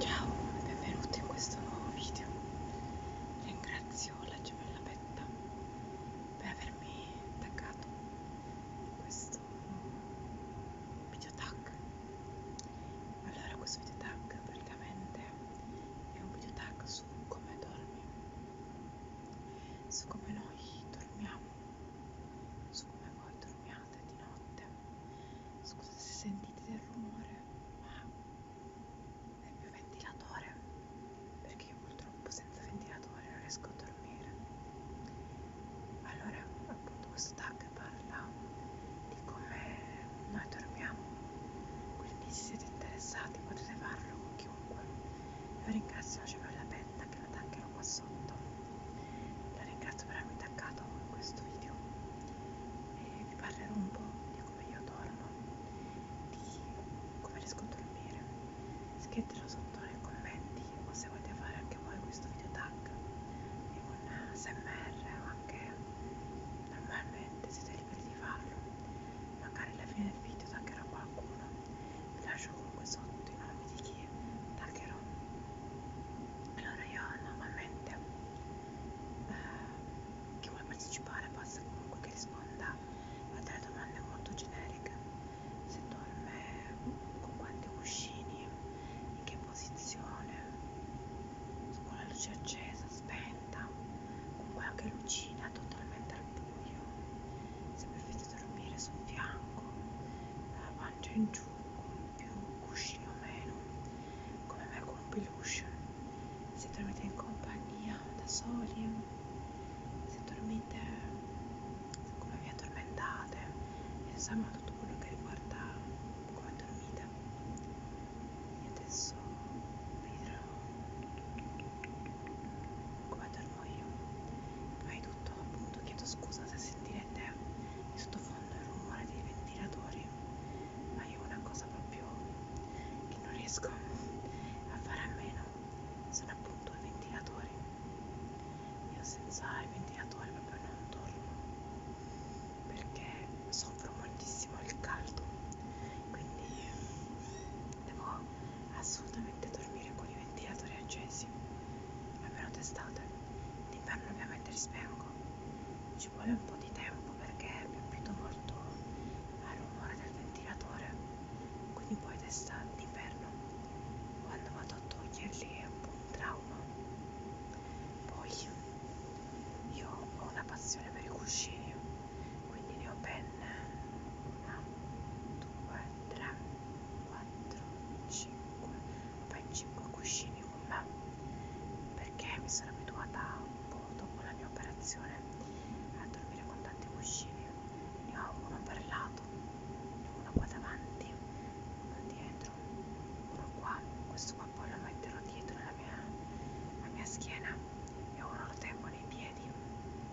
Ciao e benvenuti in questo nuovo video. Ringrazio la gemella Betta per avermi taggato in questo video tag. Allora, questo video tag praticamente è un video tag su come dormi, su come noi dormiamo, su come voi dormiamo illuminata di notte scusa se sentite del rumore ma è il mio ventilatore perché io purtroppo senza ventilatore non riesco a dormire allora appunto questo tag parla di come noi dormiamo quindi se siete interessati potete farlo con chiunque io ringrazio la cellula penta che lo taggerò qua sotto la ringrazio per avermi taggato in questo video e vi parlerò un po' di come io dormo di come riesco a dormire scrivetelo sotto nei commenti o se volete fare anche voi questo video tag di un smr o anche normalmente siete liberi di farlo magari alla fine del video taggerò qualcuno vi lascio comunque sotto i nomi di chi taggerò allora io normalmente eh, chi vuole partecipare basta comunque che risponda a delle domande molto generiche se dorme con quanti cuscini in che posizione con la luce accesa spenta con qualche lucina totalmente al buio se preferite dormire sul fianco pancia eh, in giù giù più cuscino meno come me con un peluche se dormite in compagnia da soli se dormite se come vi addormentate insomma tutto quello che riguarda come dormite io adesso vedrò come dormo io ma è tutto appunto chiedo scusa se sentirete in sottofondo il rumore dei ventilatori ma io una cosa proprio che non riesco a fare a meno sono appunto i ventilatori io senza i ventilatori proprio non dormo perché soffro moltissimo il caldo quindi devo assolutamente dormire con i ventilatori accesi almeno d'estate. D'inverno ovviamente li spengo. Ci vuole un po' di tempo perché mi abituo molto al rumore del ventilatore. Quindi poi d'estate, d'inverno, quando vado a toglierli è un po' un trauma. Poi io ho una passione per i cuscini, quindi ne ho ben una, due, tre, quattro, cinque fai 5 cuscini con me perché mi sono abituata un po' dopo la mia operazione a dormire con tanti cuscini ne ho uno per lato uno qua davanti uno dietro uno qua questo qua poi lo metterò dietro alla mia, alla mia schiena e uno lo tengo nei piedi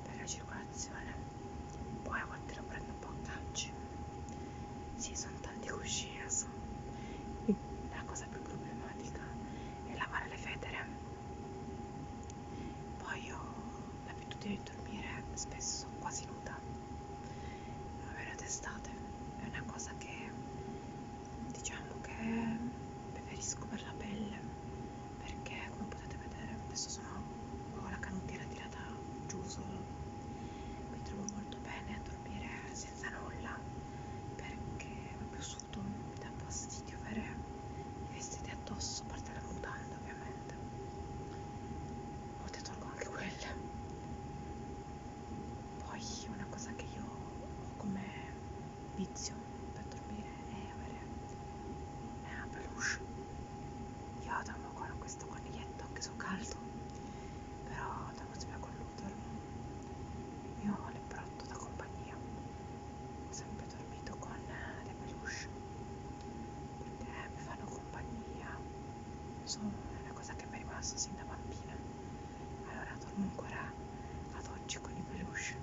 per la circolazione poi a volte lo prendo un po' a calci sì, sono tanti cuscini adesso. La cosa più problematica è lavare le federe. Poi ho l'abitudine di dormire spesso quasi nuda. Avere testate è una cosa che diciamo che preferisco per la pelle perché come potete vedere adesso sono ho la canottiera tirata svegliata giusto mi trovo molto bene a dormire senza nulla perché proprio sudo mi dà fastidio avere i vestiti addosso a parte la mutanda ovviamente o te tolgo anche quelle poi una cosa che io ho come vizio per dormire è avere una peluche io adamo con questo coniglietto che so caldo però da possibile colluderlo. Mio leprotto da compagnia, ho sempre dormito con le peluche, perché mi fanno compagnia, sono una cosa che mi è rimasta sin da bambina, allora dormo ancora ad oggi con i peluche.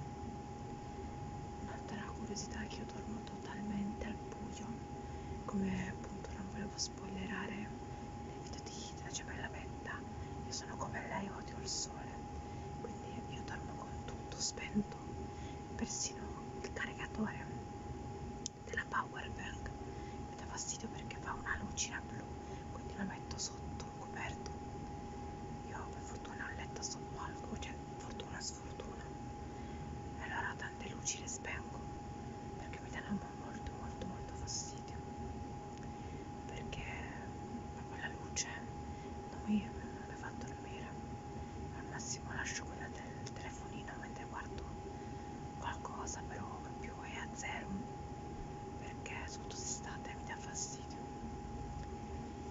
Un'altra curiosità è che io dormo totalmente al buio, come appunto non volevo spoilerare nel video di La gemella benda io sono come lei odio il sole quindi io dormo con tutto spento persino il caricatore della power bank mi dà fastidio perché fa una lucina blu quindi lo metto sotto coperto io per fortuna ho letto sottolgo cioè fortuna sfortuna allora tante luci le spengo perché mi danno molto molto molto fastidio perché proprio la luce non mi, non mi fa dormire al massimo lascio quella del telefonino mentre guardo qualcosa però proprio è a zero perché soprattutto d'estate mi dà fastidio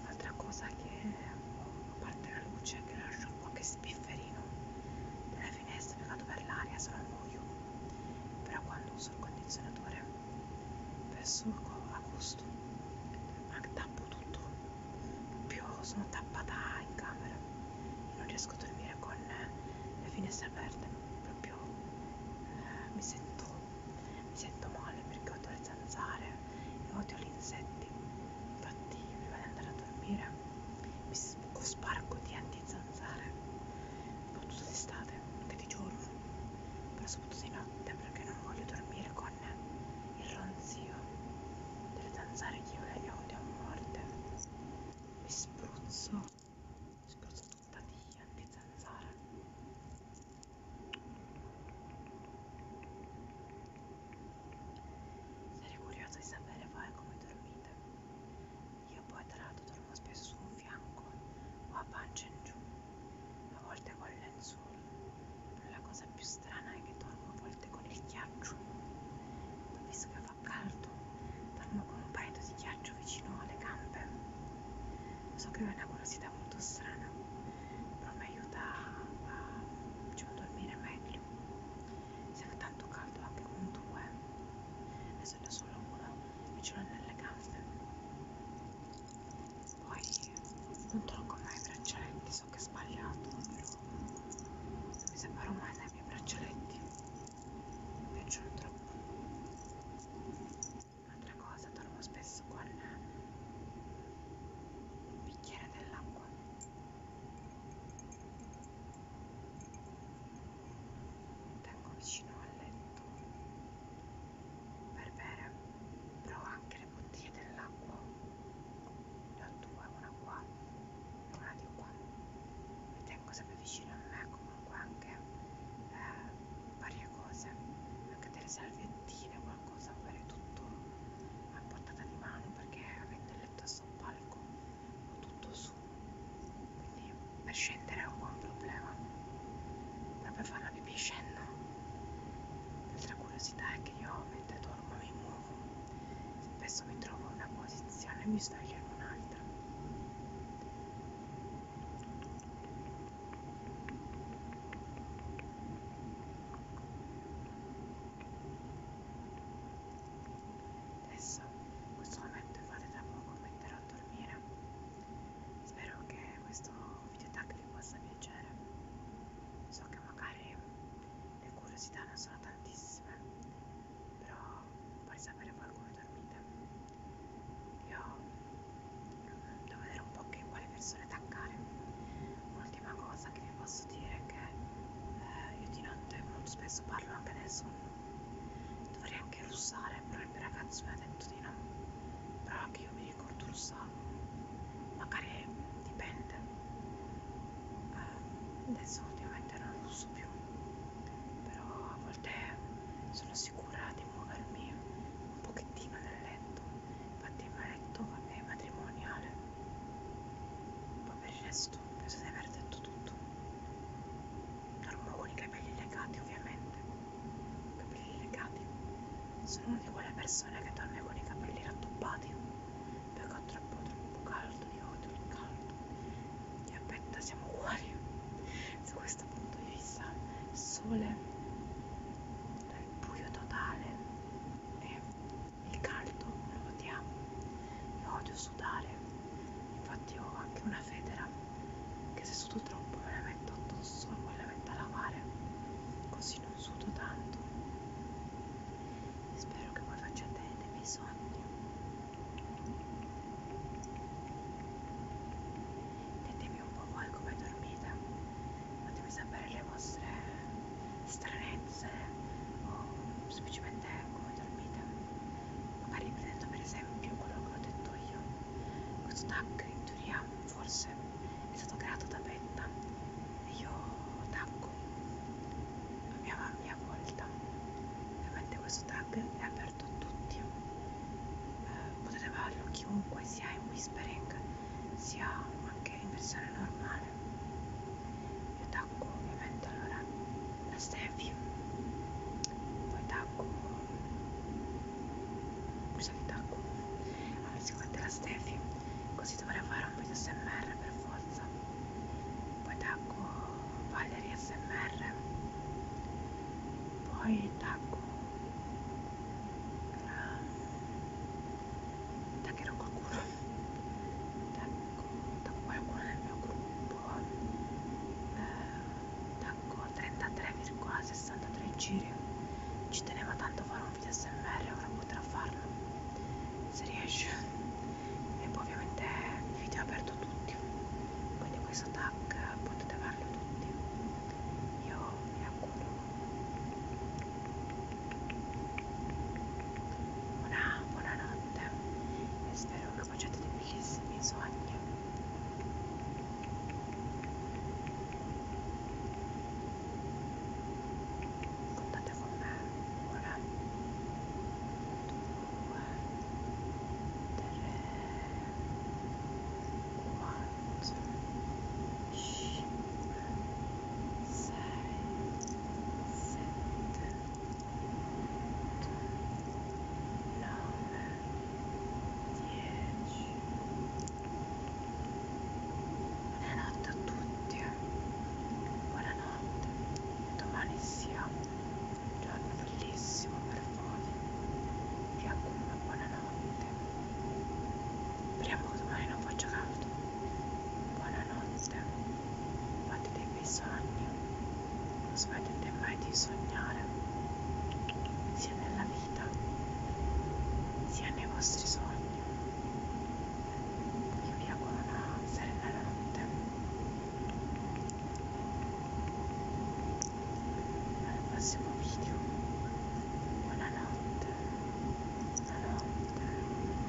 altra cosa che a parte la luce che lascio qualche spifferino della le finestre legato per l'aria sarà al buio, però quando uso il condizionatore per solco a gusto, tappo tutto, più sono tappata in camera e non riesco a dormire con le finestre aperte, proprio eh, mi, sento, mi sento male perché odio le zanzare e odio gli insetti, infatti prima di andare a dormire mi sparco di antizanzare soprattutto d'estate anche di giorno però soprattutto di notte perché non voglio dormire con il ronzio delle zanzare che io le odio a morte mi spruzzo mi spruzzo tutta di antizanzare sarei curiosa di sapere voi come dormite io poi tra l'altro dormo spesso su un fianco o a pancia in giù, a volte con il lenzuolo, però la cosa più strana è che dormo a volte con il ghiaccio, visto che fa caldo, dormo con un paio di ghiaccio vicino alle gambe. So che è una curiosità molto strana, però mi aiuta a, a diciamo, dormire meglio si fa tanto caldo anche con due adesso ne ho solo una e ce l'ho nelle gambe poi non tolgo mai i braccialetti so che è sbagliato però non mi separo mai dai miei braccialetti mi piacciono troppo un'altra cosa dormo spesso con un bicchiere dell'acqua tengo vicino al letto per bere però anche le bottiglie dell'acqua ne ho due una qua e una di qua mi tengo sempre vicino a me comunque anche eh, varie cose anche delle salviettine qualcosa per tutto a portata di mano perché avendo il letto sul palco ho tutto su quindi per scendere è un buon problema ma per fare la pipì scendo l'altra curiosità è che io mentre dormo mi muovo spesso mi trovo in una posizione e mi sveglio in un'altra adesso in questo momento è fate da poco metterò a dormire spero che questo video tag vi possa piacere so che magari le curiosità non sono tantissime però vorrei sapere voi come dormite io devo vedere un po' che quale persone attaccare un'ultima cosa che vi vi posso dire che eh, io di notte molto spesso parlo anche nel sonno. Dovrei anche russare, però il mio ragazzo mi ha detto di no. Però anche io mi ricordo russavo. Magari dipende. Eh, adesso ultimamente non russo più. Però a volte sono sicura di muovermi un pochettino nel letto. Infatti il mio letto è matrimoniale. Poi per il resto penso di aver detto tutto Normoni, capelli legati ovviamente capelli legati sono una di quelle persone che dorme con i capelli rattoppati perché ho troppo troppo caldo io odio il caldo e aspetta siamo uguali su questo punto di vista sole nel buio totale e il caldo lo odiamo, io odio sudare, infatti ho anche una federa che se sudo troppo me la metto addosso e poi la metto a lavare, così non sudo tanto. Spero che voi facciate dei miei sogni. Ditemi un po' voi come dormite, fatemi sapere le vostre stranezze sé o oh, semplicemente come dormite magari prendendo per esempio quello che ho detto io questo tag in teoria forse è stato creato da Betta e io tacco a mia, a mia volta ovviamente questo tag è aperto a tutti eh, potete farlo chiunque sia in whispering sia anche in versione normale male io tacco ovviamente allora la Steffi poi tacco cosa che tacco? allora sicuramente la Steffi così dovrei fare un po' di smr per forza poi tacco Valerie smr poi tacco taccherò qualcuno da, da qualcuno del mio gruppo eh, tacco 33,63 giri ci teneva tanto a fare un video smr ora potrà farlo se riesce e poi ovviamente il video è aperto a tutti quindi questo tag potete averlo tutti io mi auguro una buonanotte e spero che facciate dei bellissimi sogni contate con me ora 2 3 4 5 6 7 nove, dieci. Buonanotte a tutti, buonanotte e domani sia un giorno bellissimo per voi. Vi auguro una buona notte. Speriamo che domani non faccia caldo. Buonanotte fate dei bei sogni, non smettete mai di sognare, sia nella vita, sia nei vostri sogni. Io vi auguro una serena notte. Al prossimo video. Buonanotte. Buonanotte.